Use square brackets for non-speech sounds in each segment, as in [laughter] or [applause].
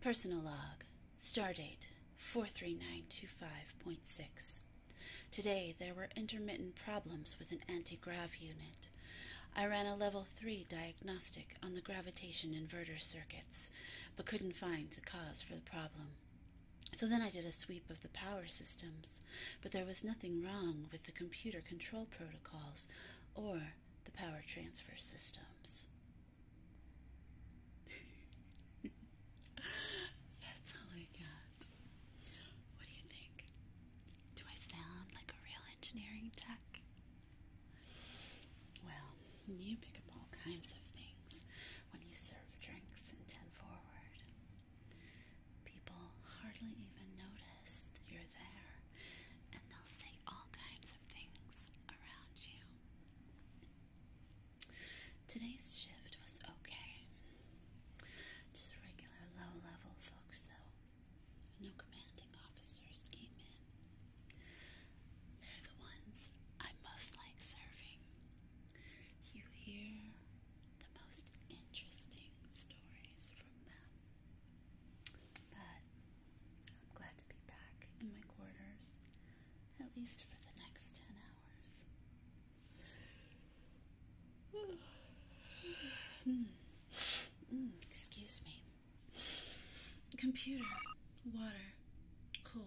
Personal log, stardate 43925.6. Today there were intermittent problems with an anti-grav unit. I ran a level 3 diagnostic on the gravitation inverter circuits, but couldn't find the cause for the problem. So then I did a sweep of the power systems, but there was nothing wrong with the computer control protocols or the power transfer systems. [laughs] That's all I got. What do you think? Do I sound like a real engineering tech? Well, you pick up all kinds of things when you serve drinks and tend forward. People hardly even notice that you're there, and they'll say all kinds of things around you. Today's shift was okay. Just regular low level folks, though. No commanding officers came in. They're the ones I most like serving. You hear the most interesting stories from them. But I'm glad to be back in my quarters, at least for the next 10 hours. [sighs] excuse me. Computer, water, cold.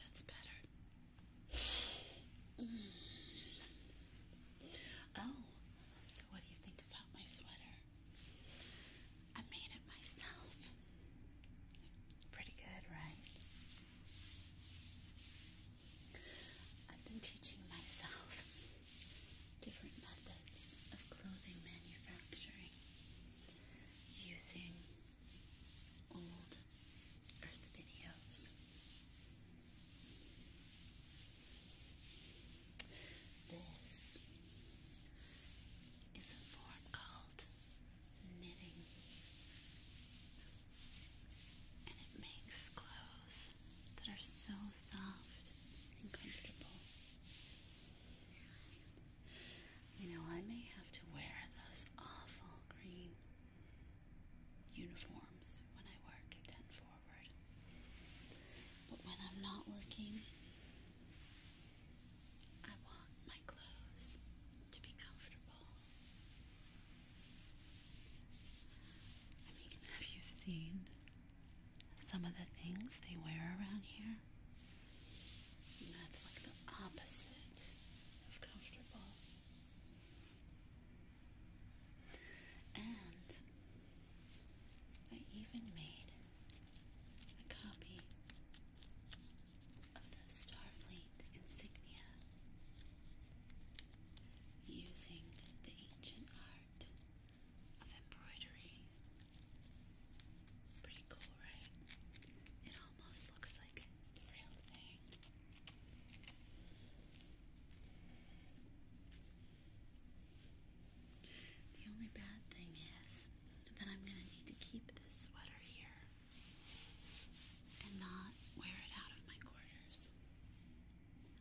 That's better. [sighs] Oh, so what do you think about my sweater? I made it myself. Pretty good, right? I've been teaching myself different methods of clothing manufacturing using old Earth videos. This is a form called knitting, and it makes clothes that are so soft and comfortable. You know, I may have to wear those awful green uniforms when I work at 10 Forward. But when I'm not working, I want my clothes to be comfortable. I mean, have you seen some of the things they wear around here? that's like the opposite of comfortable. And I even made a copy of the Starfleet insignia using the ancient art of embroidery cool, right? It almost looks like a real thing. The only bad thing is that I'm going to need to keep this sweater here and not wear it out of my quarters.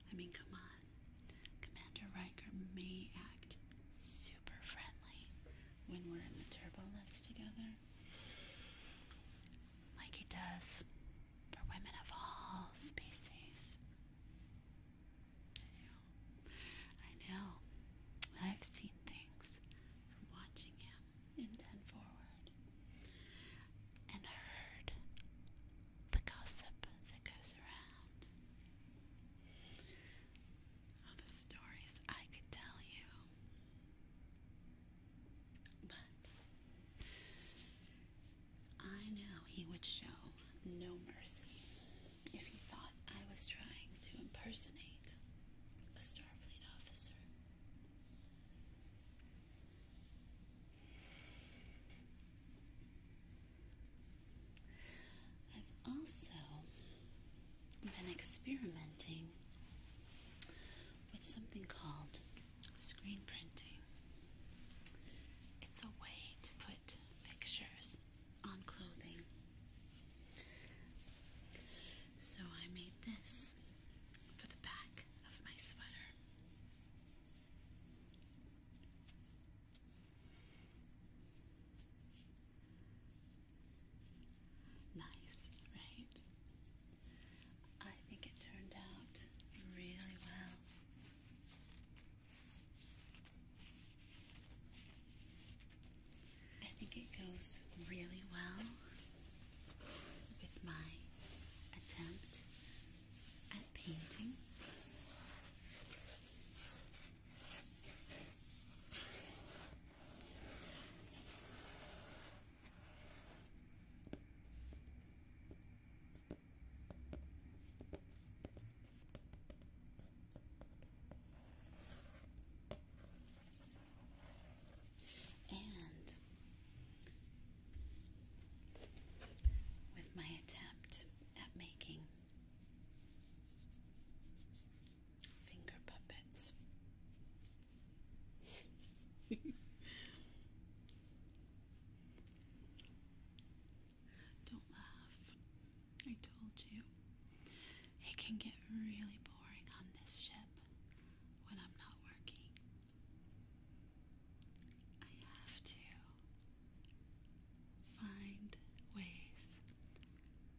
I mean, come on. Commander Riker may act. Super super friendly when we're in the turbo together. Like he does for women of all species. I know. I have seen things from watching him in Ten Forward and heard the gossip that goes around all the stories I could tell you. But I know he would show no mercy if he thought I was trying to impersonate a Starfleet officer. I've also been experimenting with something called screen printing. It's a way to put pictures on clothing. So I made this for the back of my sweater. Nice, right? I think it turned out really well. I think it goes really well with my attempt at painting. And with my attempt at making Finger puppets. Don't laugh. I told you. It can get really boring on this ship when I'm not working. I have to find ways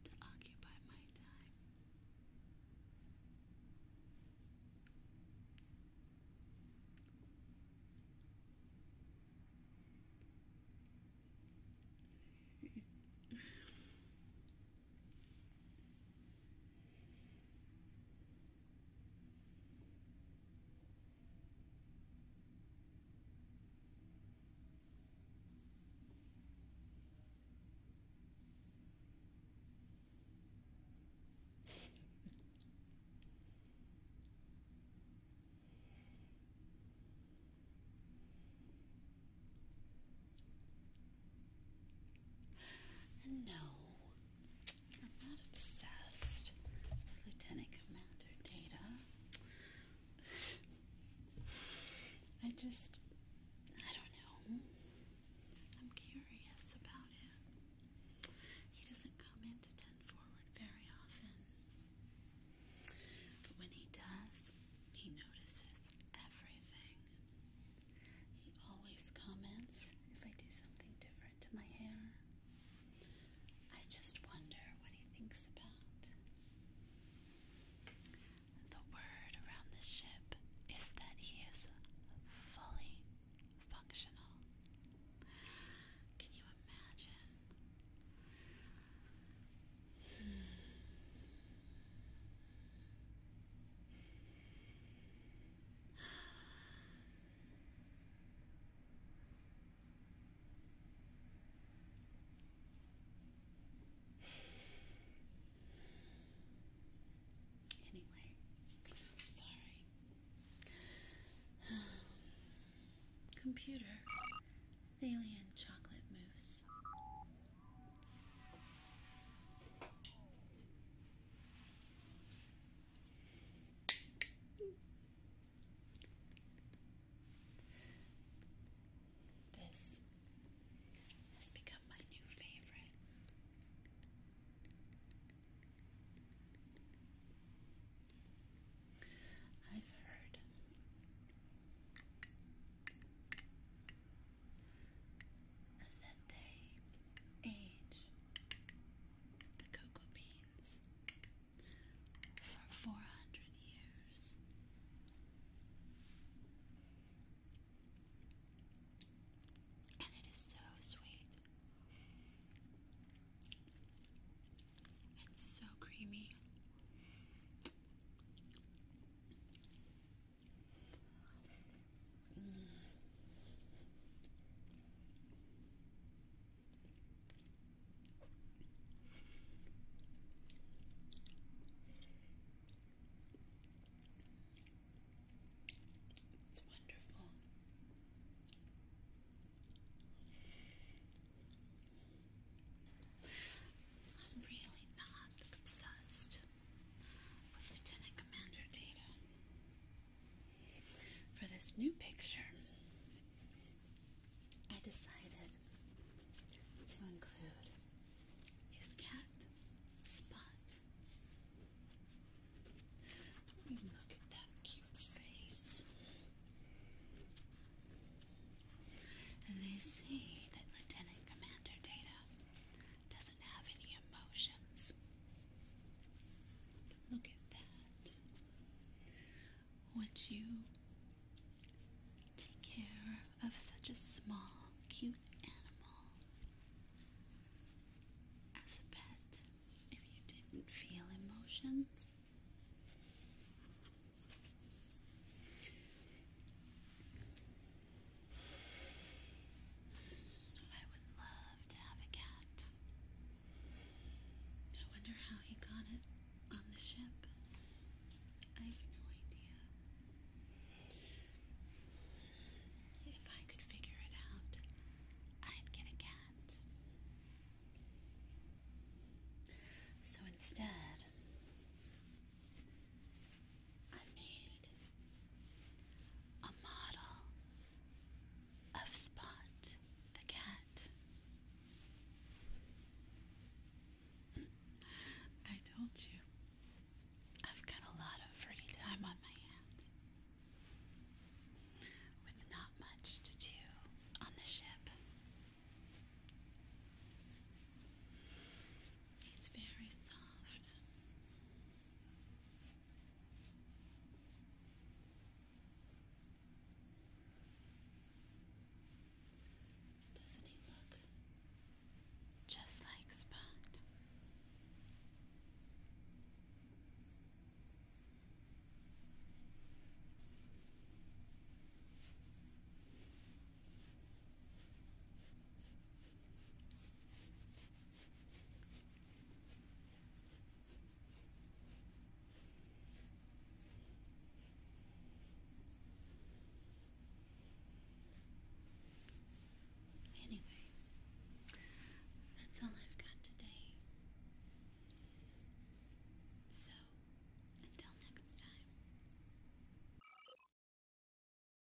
to occupy my time. And no, I'm not obsessed Lieutenant Commander Data. I just, I don't know. I'm curious about him. He doesn't come into 10 forward very often. But when he does, he notices everything. He always comments if I do something different different to my hair. I just wonder what he thinks about. The word around the ship is that he is fully functional. Can you imagine? Anyway, sorry. [sighs] Computer, Thalian chocolate mousse. This has become my new favorite. I've heard that they age the cocoa beans for 400 years. And it is so sweet and so creamy. It's wonderful. I'm really not obsessed with Lieutenant Commander Data. For this new picture, I decided to include his cat, Spot. Look at that cute face. And they see that Lieutenant Commander Data doesn't have any emotions. Look at that. Would you take care of such a small, cute animal as a pet if you didn't feel emotions? I would love to have a cat. I wonder how he got it on the ship. I have no idea. If I could figure it out, I'd get a cat. So instead, I made a model of Spot the cat. [laughs] I told you, I've got a lot of free time on my hands. With not much to do on the ship. He's very soft. Doesn't he look just like Spot? Anyway, that's all I've got today. So, until next time.